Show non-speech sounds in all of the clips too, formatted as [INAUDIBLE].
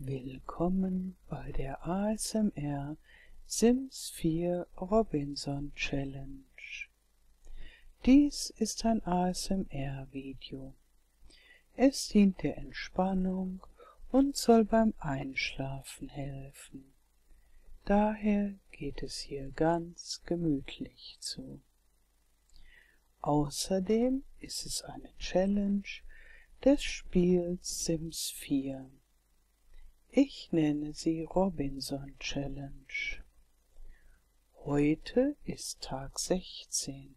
Willkommen bei der ASMR Sims 4 Robinson Challenge. Dies ist ein ASMR-Video. Es dient der Entspannung und soll beim Einschlafen helfen. Daher geht es hier ganz gemütlich zu. Außerdem ist es eine Challenge des Spiels Sims 4. Ich nenne sie Robinson Challenge. Heute ist Tag 16.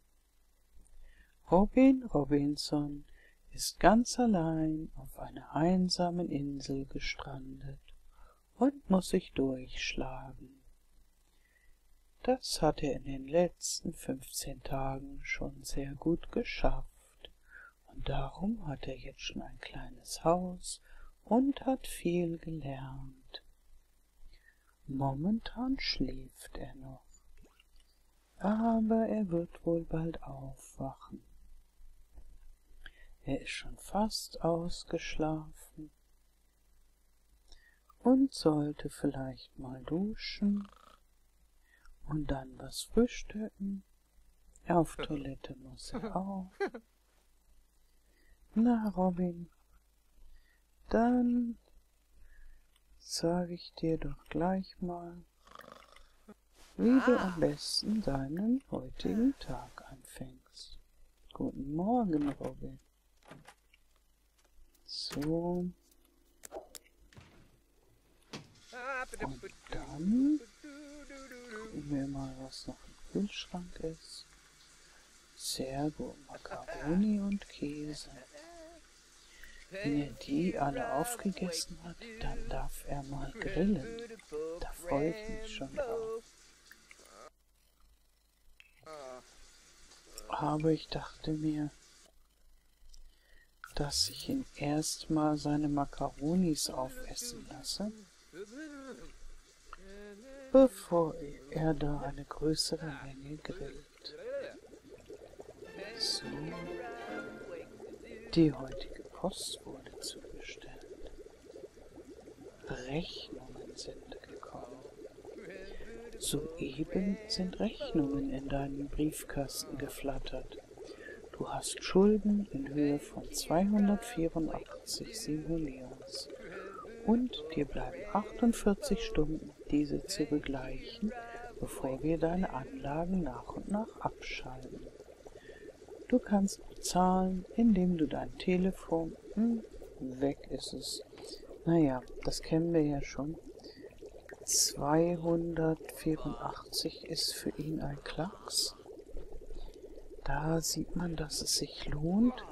Robin Robinson ist ganz allein auf einer einsamen Insel gestrandet und muss sich durchschlagen. Das hat er in den letzten 15 Tagen schon sehr gut geschafft, und darum hat er jetzt schon ein kleines Haus und hat viel gelernt. Momentan schläft er noch, aber er wird wohl bald aufwachen. Er ist schon fast ausgeschlafen und sollte vielleicht mal duschen und dann was frühstücken. Auf Toilette muss er [LAUGHS] auch. Na, Robin, dann sage ich dir doch gleich mal, wie ah. du am besten deinen heutigen Tag anfängst. Guten Morgen, Robin. So. Und dann gucken wir mal, was noch im Kühlschrank ist. Sehr gut, Macaroni und Käse. Wenn er die alle aufgegessen hat, dann darf er mal grillen. Da freue ich mich schon drauf. Aber ich dachte mir, dass ich ihn erstmal seine Makaronis aufessen lasse, bevor er da eine größere Menge grillt. So, die heutige Post wurde zugestellt. Rechnungen sind gekommen. Soeben sind Rechnungen in deinen Briefkasten geflattert. Du hast Schulden in Höhe von 284 Simoleons. Und dir bleiben 48 Stunden, diese zu begleichen, bevor wir deine Anlagen nach und nach abschalten. Du kannst bezahlen, indem du dein Telefon... Hm, weg ist es. Naja, das kennen wir ja schon. 284 ist für ihn ein Klacks. Da sieht man, dass es sich lohnt,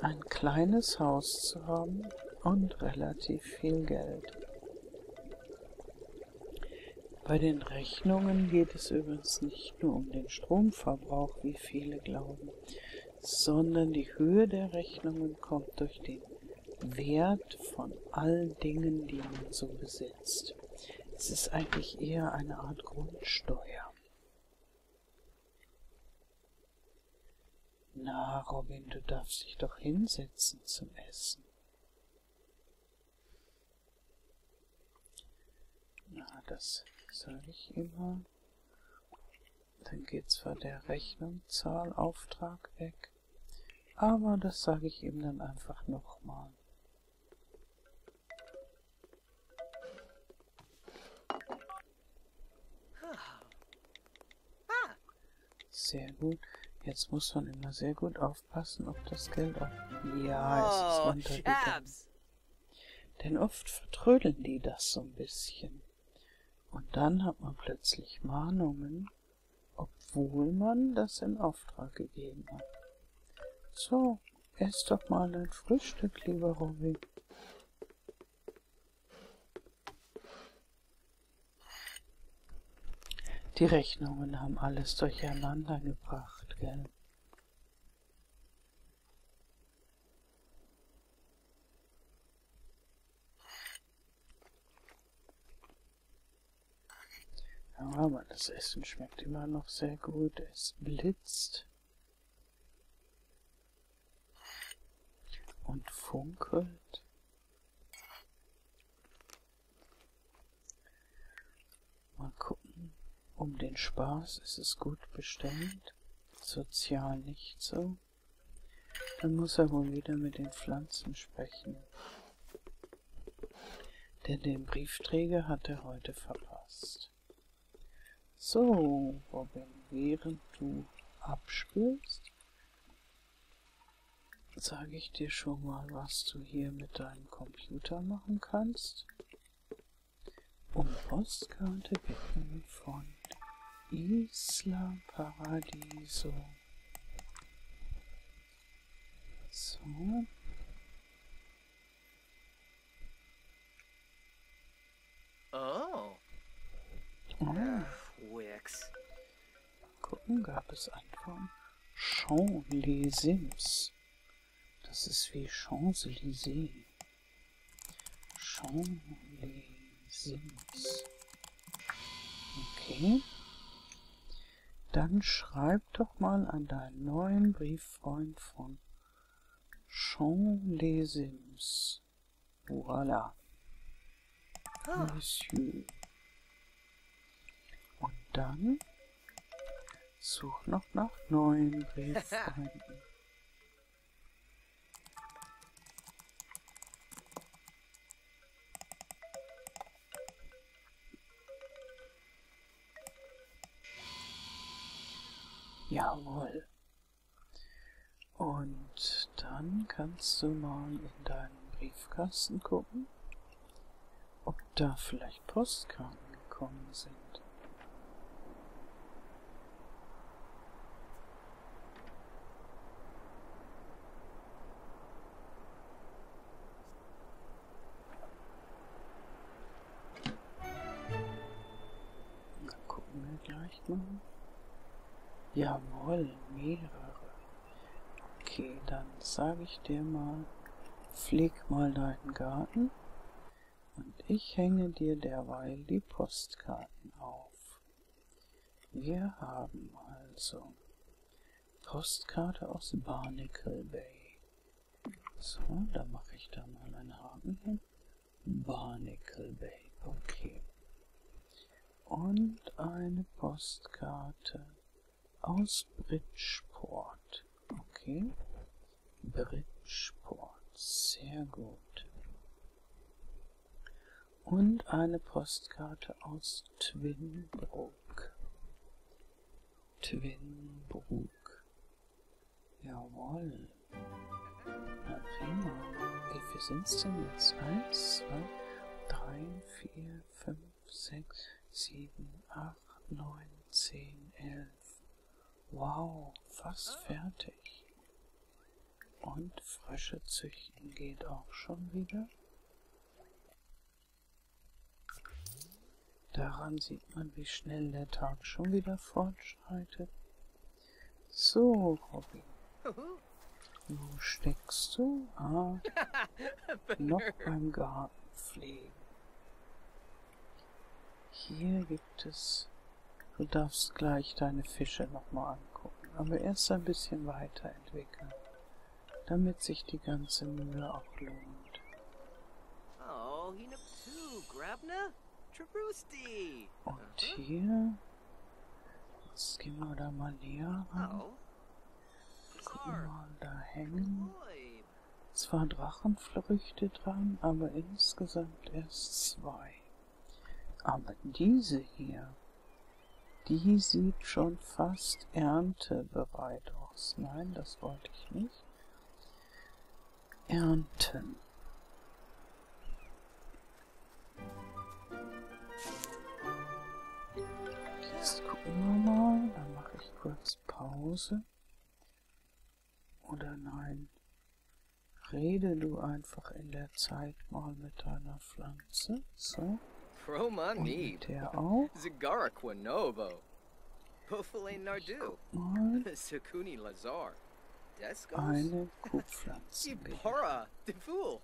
ein kleines Haus zu haben und relativ viel Geld. Bei den Rechnungen geht es übrigens nicht nur um den Stromverbrauch, wie viele glauben, sondern die Höhe der Rechnungen kommt durch den Wert von all Dingen, die man so besitzt. Es ist eigentlich eher eine Art Grundsteuer. Na, Robin, du darfst dich doch hinsetzen zum Essen. Na, das soll ich immer. Dann geht's zwar der Rechnung, Zahl, Auftrag weg, aber das sage ich ihm dann einfach nochmal. Sehr gut. Jetzt muss man immer sehr gut aufpassen, ob das Geld auch... Ja, es ist runtergegangen. Denn oft vertrödeln die das so ein bisschen. Und dann hat man plötzlich Mahnungen, obwohl man das in Auftrag gegeben hat. So, ess doch mal ein Frühstück, lieber Robby. Die Rechnungen haben alles durcheinander gebracht, gell? Aber das Essen schmeckt immer noch sehr gut. Es blitzt und funkelt. Mal gucken. Um den Spaß ist es gut bestellt. Sozial nicht so. Dann muss er wohl wieder mit den Pflanzen sprechen. Denn den Briefträger hat er heute verpasst. So, Robin, während du abspülst, sage ich dir schon mal, was du hier mit deinem Computer machen kannst. Um Postkarte bitten von Isla Paradiso. So. Oh. Ah. Oh. Wix. Gucken gab es Antworten. Champs-les-Sims. Das ist wie Champs-Élysées. Champs-Élysées. Okay. Dann schreib doch mal an deinen neuen Brieffreund von Champs-les-Sims. Voilà. Ah. Monsieur. Und dann such noch nach neuen [LAUGHS] Brieffreunden. Jawohl. Und dann kannst du mal in deinen Briefkasten gucken, ob da vielleicht Postkarten gekommen sind. Da gucken wir gleich mal. Jawohl, mehrere. Okay, dann sage ich dir mal, pfleg mal deinen Garten und ich hänge dir derweil die Postkarten auf. Wir haben also Postkarte aus Barnacle Bay. So, da mache ich da mal einen Haken hin. Barnacle Bay, okay. Und eine Postkarte aus Bridgeport. Okay. Bridgeport, sehr gut und eine Postkarte aus Twinbrook. Twinbrook. Jawohl. Na prima. Wie viel sind's denn jetzt? Eins, zwei, drei, vier, fünf, sechs, sieben, acht, neun, zehn, elf. Wow, fast fertig. Und frische Züchten geht auch schon wieder. Daran sieht man, wie schnell der Tag schon wieder fortschreitet. So, Robby. Wo steckst du? Ah, [LAUGHS] noch beim Gartenpflegen. Hier gibt es... Du darfst gleich deine Fische nochmal angucken, aber erst ein bisschen weiterentwickeln, damit sich die ganze Mühe auch lohnt. Oh, Und uh-huh. hier, jetzt gehen wir da mal näher ran. Gucken mal, da hängen zwar Drachenfrüchte dran, aber insgesamt erst zwei. Aber diese hier, die sieht schon fast erntebereit aus. Nein, das wollte ich nicht. Ernten. Jetzt gucken wir mal. Dann mache ich kurz Pause. Oder nein. Rede du einfach in der Zeit mal mit deiner Pflanze. So. Und mit der auch. Zigaraquinovo. Novo. Buffale Nardu. [LAUGHS] Sukuni Lazar. Eine [LAUGHS] Kuhpflanze. Para, the fool.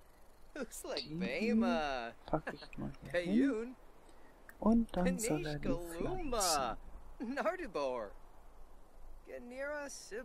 Who's like Bema? Pack ich mal hier hin. Und dann soll er die Pflanzen. Nardubor. Ganira Sil.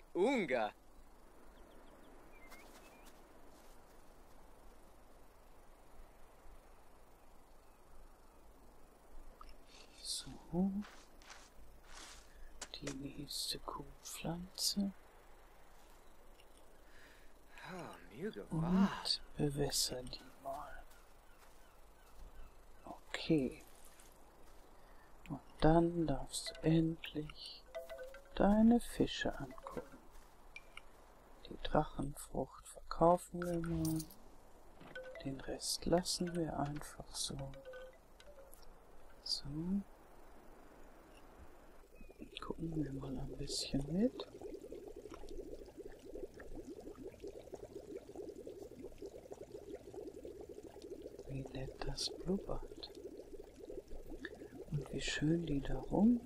bei Unga. So. Die nächste Kuhpflanze. Und bewässer die mal. Okay. Und dann darfst du endlich deine Fische angucken. Die Drachenfrucht verkaufen wir mal. Den Rest lassen wir einfach so. So. Gucken wir mal ein bisschen mit. Wie nett das blubbert. Und wie schön die da rumschwimmen,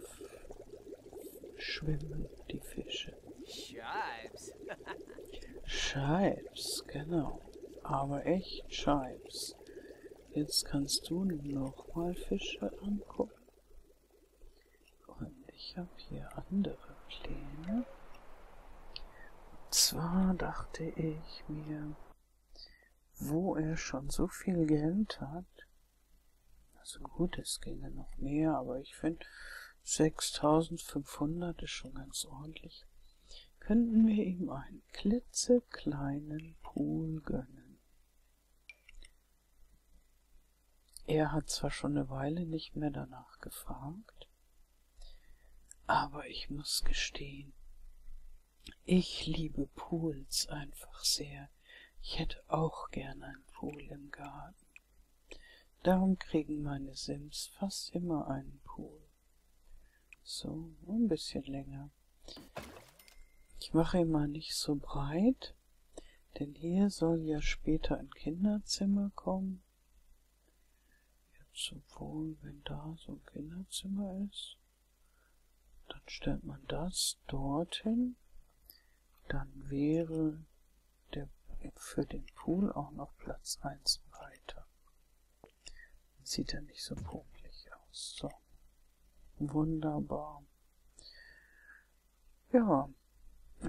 die Fische. Scheibs. Scheibs, genau. Aber echt Scheibs. Jetzt kannst du nochmal Fische angucken. Und ich habe hier andere Pläne. Und zwar dachte ich mir, wo er schon so viel Geld hat. Also gut, es ginge noch mehr, aber ich finde 6500 ist schon ganz ordentlich. Könnten wir ihm einen klitzekleinen Pool gönnen. Er hat zwar schon eine Weile nicht mehr danach gefragt, aber ich muss gestehen, ich liebe Pools einfach sehr. Ich hätte auch gern einen Pool im Garten. Darum kriegen meine Sims fast immer einen Pool. So, ein bisschen länger. Ich mache ihn mal nicht so breit, denn hier soll ja später ein Kinderzimmer kommen. Jetzt sowohl, wenn da so ein Kinderzimmer ist, dann stellt man das dorthin, dann wäre der, für den Pool auch noch Platz 1 weiter. Dann sieht er nicht so pummelig aus. So. Wunderbar. Ja,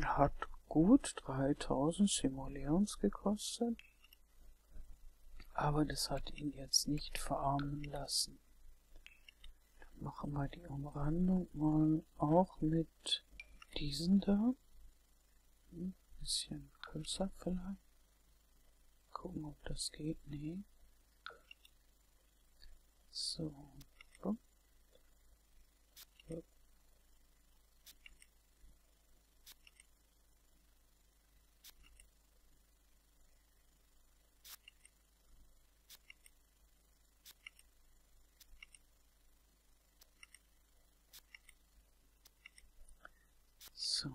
hat gut 3000 Simoleons gekostet. Aber das hat ihn jetzt nicht verarmen lassen. Dann machen wir die Umrandung mal auch mit diesen da. Ein hm, bisschen größer vielleicht. Gucken, ob das geht. Nee. So. So.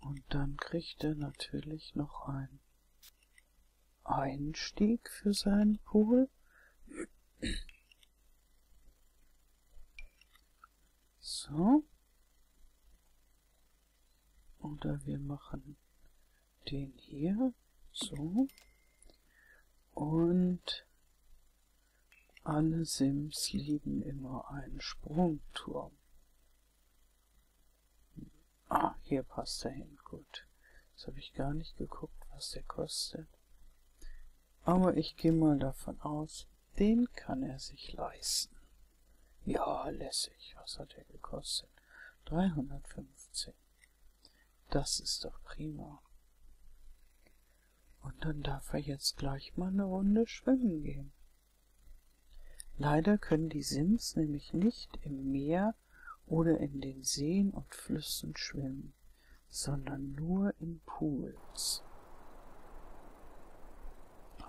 Und dann kriegt er natürlich noch einen Einstieg für seinen Pool. So. Oder wir machen den hier. So. Und alle Sims lieben immer einen Sprungturm. Ah, hier passt er hin. Gut. Jetzt habe ich gar nicht geguckt, was der kostet. Aber ich gehe mal davon aus, den kann er sich leisten. Ja, lässig. Was hat er gekostet? 315. Das ist doch prima. Und dann darf er jetzt gleich mal eine Runde schwimmen gehen. Leider können die Sims nämlich nicht im Meer oder in den Seen und Flüssen schwimmen. Strömen, sondern nur in Pools.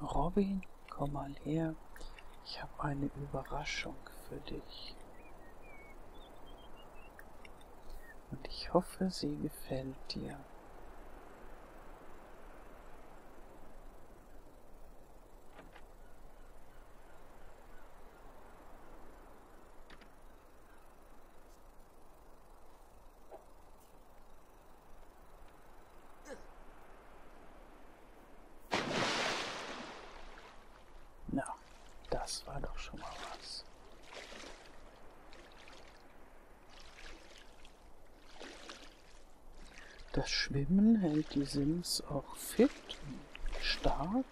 Robin, komm mal her, ich habe eine Überraschung für dich. Und ich hoffe, sie gefällt dir. Na, das war doch schon mal was. Das Schwimmen hält die Sims auch fit und stark.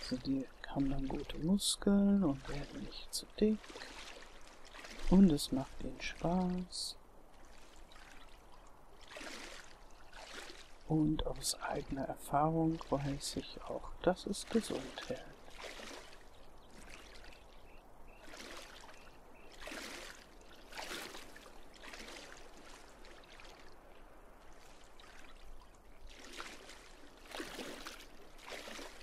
Also die haben dann gute Muskeln und werden nicht zu dick und es macht ihnen Spaß. Und aus eigener Erfahrung weiß ich auch, dass es gesund hält.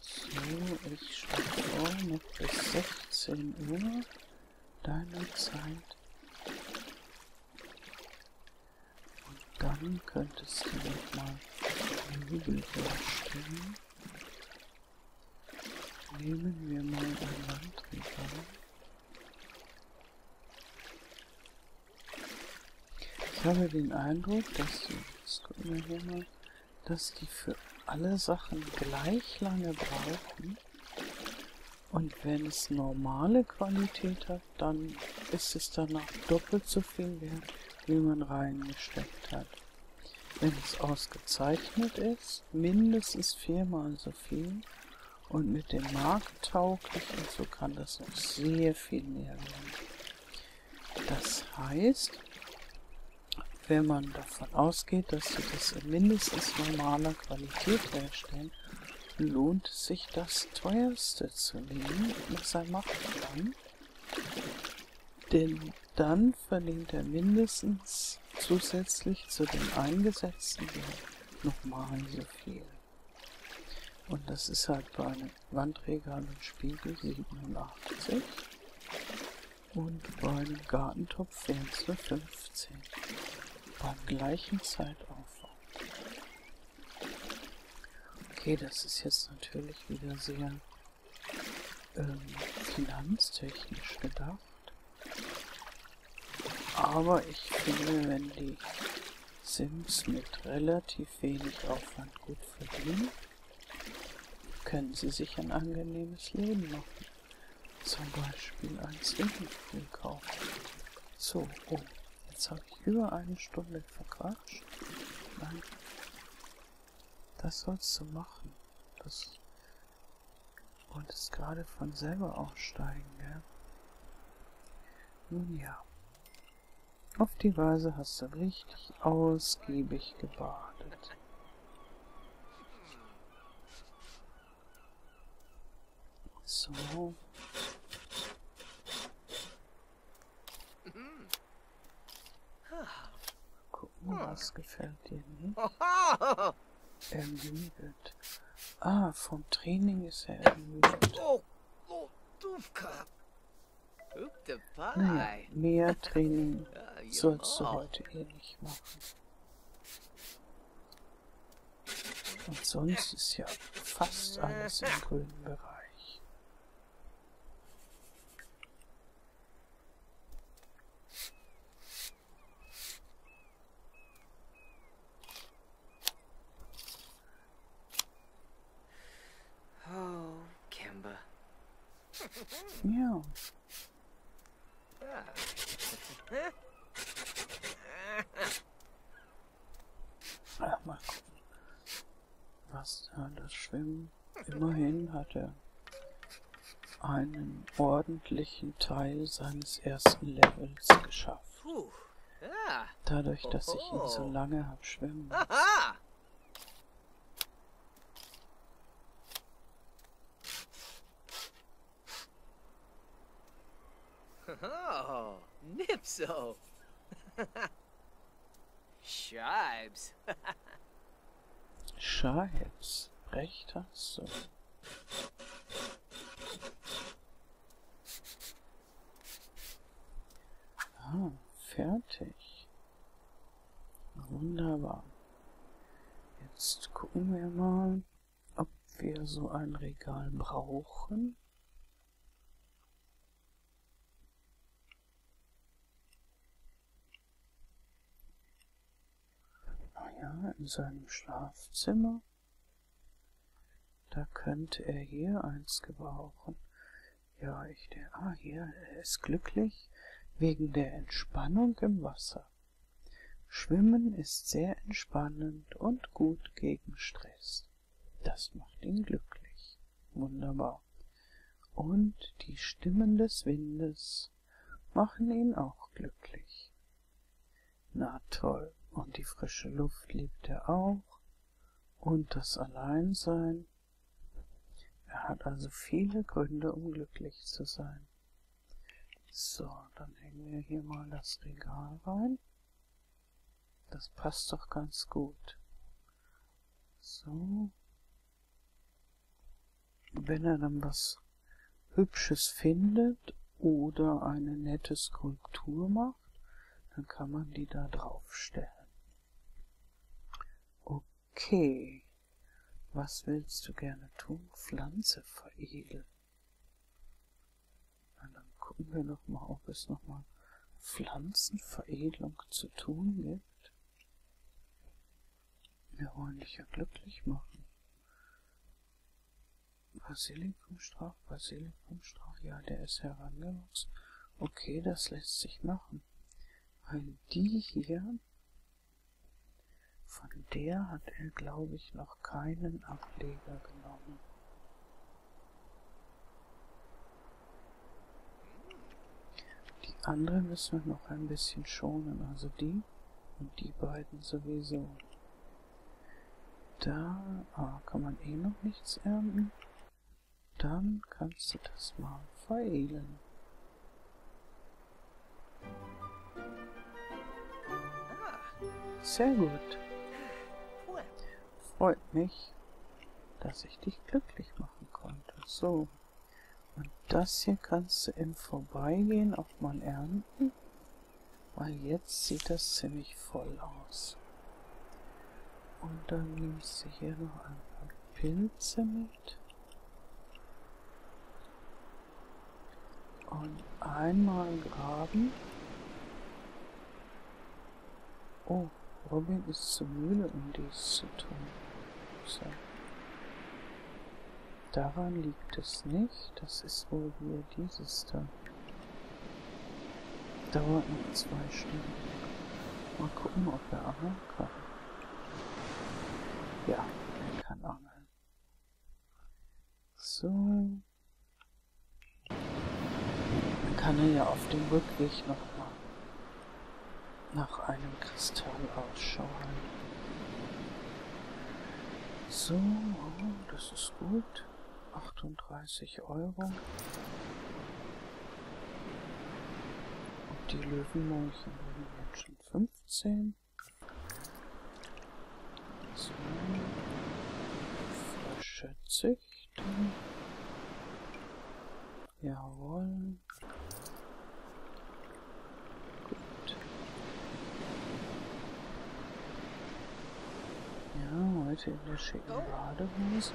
So, ich schlafe noch bis 16 Uhr deine Zeit. Und dann könntest du nochmal Möbel herstellen. Nehmen wir mal ein Landregal. Ich habe den Eindruck, dass die, das gucken wir hier mal, dass die für alle Sachen gleich lange brauchen. Und wenn es normale Qualität hat, dann ist es danach doppelt so viel wert, wie man reingesteckt hat. Wenn es ausgezeichnet ist, mindestens viermal so viel. Und mit dem markttauglichen, so kann das noch sehr viel mehr werden. Das heißt, wenn man davon ausgeht, dass sie das in mindestens normaler Qualität herstellen, lohnt sich das teuerste zu nehmen, was er machen kann. Denn dann verdient er mindestens zusätzlich zu dem eingesetzten nochmal so viel. Und das ist halt bei einem Wandregal und Spiegel 87 und bei einem Gartentopf wären es nur 15. Beim gleichen Zeitaufwand. Okay, das ist jetzt natürlich wieder sehr ähm, finanztechnisch gedacht. Aber ich finde, wenn die Sims mit relativ relativ wenig Aufwand gut verdienen, können sie sich ein angenehmes Leben machen. Zum Beispiel ein Swimmingpool kaufen. So, oh, jetzt habe ich über eine Stunde verquatscht. Nein, das sollst du machen. Das und es gerade von selber aufsteigen, gell? Nun ja, auf die Weise hast du richtig ausgiebig gebadet. So. Gucken, was gefällt dir nicht. Ermüdet. Ah, vom Training ist er ermüdet. Oh, oh, naja, mehr Training sollst du heute eh nicht machen. Und sonst ist ja fast alles im grünen Bereich. Oh, Kimber. Ja. Ach, mal gucken. Was da das Schwimmen? Immerhin hat er einen ordentlichen Teil seines ersten Levels geschafft. Dadurch, dass ich ihn so lange habe schwimmen. Oh, Nipso. Oh. Scheibs. Scheibs. Recht hast du. Ah, fertig. Wunderbar. Jetzt gucken wir mal, ob wir so ein Regal brauchen. Naja, ah in seinem Schlafzimmer. Da könnte er hier eins gebrauchen. Ja, ich denke, ah, hier, er ist glücklich wegen der Entspannung im Wasser. Schwimmen ist sehr entspannend und gut gegen Stress. Das macht ihn glücklich. Wunderbar. Und die Stimmen des Windes machen ihn auch glücklich. Na toll. Und die frische Luft liebt er auch. Und das Alleinsein er hat also viele Gründe, um glücklich zu sein. So, dann hängen wir hier mal das Regal rein. Das passt doch ganz gut. So. Wenn er dann was Hübsches findet oder eine nette Skulptur macht, braucht, dann kann man die da draufstellen. Okay. Was willst du gerne tun? Pflanze veredeln. Na, dann gucken wir noch mal, ob es noch mal Pflanzenveredelung zu tun gibt. Wir wollen dich ja glücklich machen. Basilikumstrauch, Basilikumstrauch, ja, der ist herangewachsen. Okay, das lässt sich machen. Weil die hier, von der hat er, glaube ich, noch keinen Ableger genommen. Die andere müssen wir noch ein bisschen schonen, also die und die beiden sowieso. Da ah, kann man eh noch nichts ernten. Dann kannst du das mal feilen. Sehr gut. Freut mich, dass ich dich glücklich machen konnte. So. Und das hier kannst du im Vorbeigehen auch mal ernten, weil jetzt sieht das ziemlich voll aus. Und dann nehme ich sie hier noch ein paar Pilze mit. Und einmal graben. Oh, Robin ist zu müde, um dies zu tun. So. Daran liegt es nicht. Das ist wohl hier dieses da. Dauert nur zwei Stunden. Mal gucken, ob er angeln kann. Ja, er kann angeln. So. Dann kann er ja auf dem Rückweg nochmal nach einem Kristall ausschauen. So, oh, das ist gut. 38. 50 Euro. Und die Löwenmolche haben jetzt schon 15. So. Frische Züchten. Jawohl. Gut. Ja, heute in der schicken Badehose.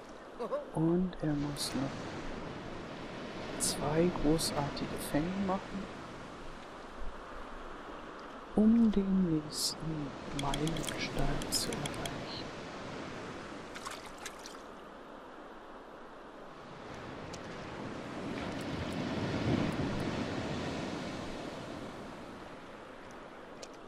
Und er muss noch zwei großartige Fänge machen, um den nächsten Meilenstein zu erreichen.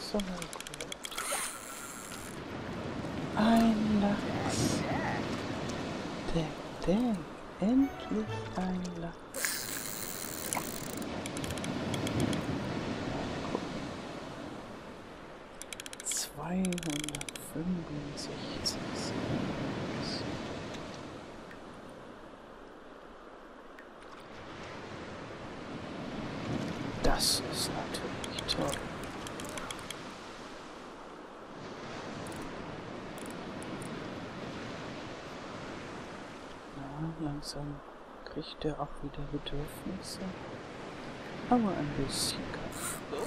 so gut. Ein Lachs. Denk, denk. Endlich ein Lachs. Zweihundertfünfundsechzig. Das ist natürlich toll. Na, langsam kriegt er auch wieder Bedürfnisse. Aber ein bisschen Kaffee. Oh.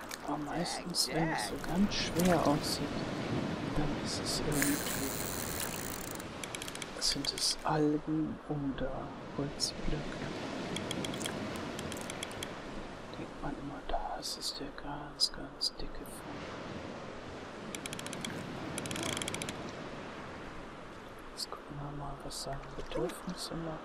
Aber meistens, wenn es so ganz schwer aussieht, dann ist es irgendwie... Sind es Algen oder Holzblöcke? Denkt man immer, das ist der ganz, ganz dicke Fond. Jetzt gucken wir mal, was sagen Bedürfnisse machen.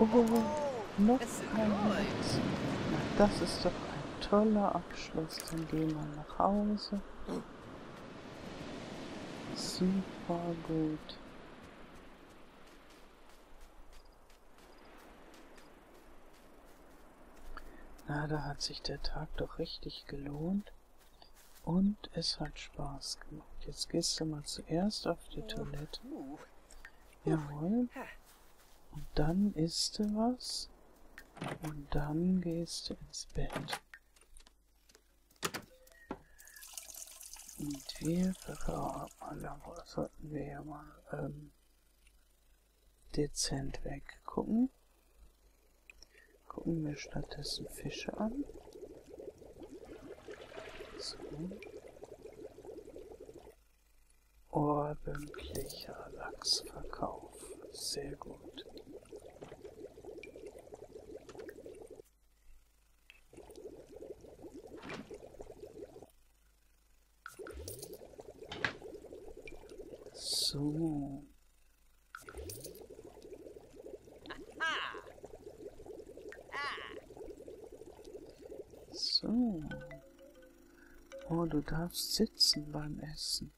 Oh, oh, oh, noch ein. Das ist doch ein toller Abschluss. Dann gehen wir nach Hause. Super gut. Na, da hat sich der Tag doch richtig gelohnt. Und es hat Spaß gemacht. Jetzt gehst du mal zuerst auf die Toilette. Jawohl. Und dann isst du was. Und dann gehst du ins Bett. Und wir verraten, sollten wir ja mal ähm, dezent weggucken. Gucken wir stattdessen Fische an. So. Ordentlicher Lachsverkauf. Sehr gut. So. Ah. So. Oh, du darfst sitzen beim Essen.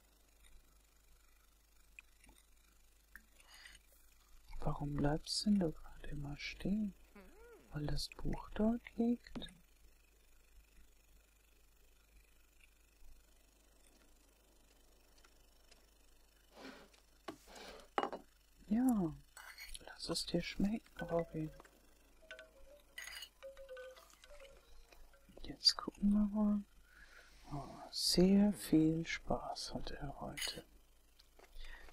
Warum bleibst denn du gerade immer stehen? Hm. Weil das Buch dort liegt? Ja, lass es dir schmecken, Robin. Jetzt gucken wir mal. Oh, sehr viel Spaß hat er heute.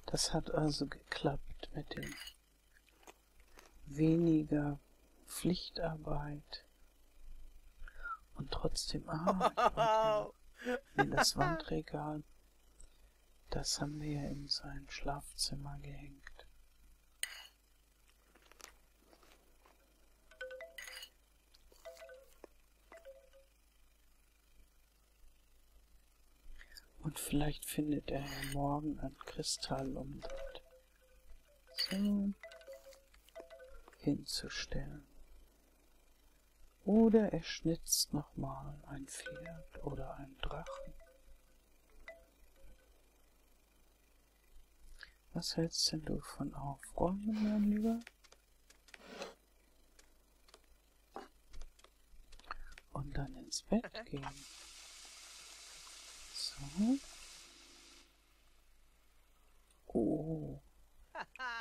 Das hat also geklappt mit dem weniger Pflichtarbeit und trotzdem Arbeit. [LAUGHS] in das Wandregal. Das haben wir ja in sein Schlafzimmer gehängt. Und vielleicht findet er ja morgen ein Kristallumdreh. So. Hinzustellen. Oder er schnitzt nochmal ein Pferd oder einen Drachen. Was hältst denn du von Aufräumen, mein Lieber? Und dann ins Bett gehen. So. Oh.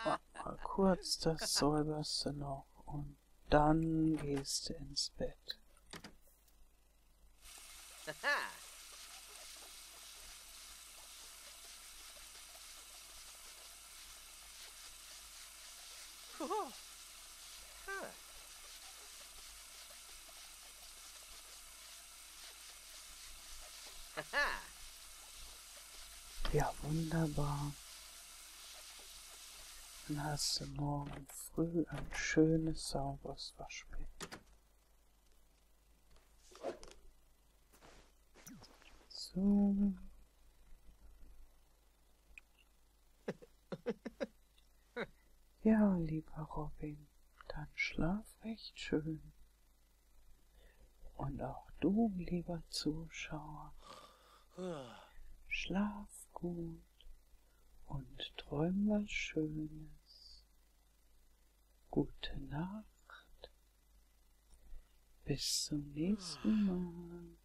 Warte mal kurz das säuberst du noch und dann gehst du ins Bett. [LAUGHS] Ja, wunderbar. Dann hast du morgen früh ein schönes, sauberes Waschbecken. So. [LAUGHS] Ja, lieber Robin, dann schlaf recht schön. Und auch du, lieber Zuschauer, schlaf gut und träum was Schönes. Gute Nacht. Bis zum nächsten Mal.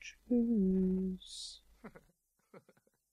Tschüss. [LAUGHS]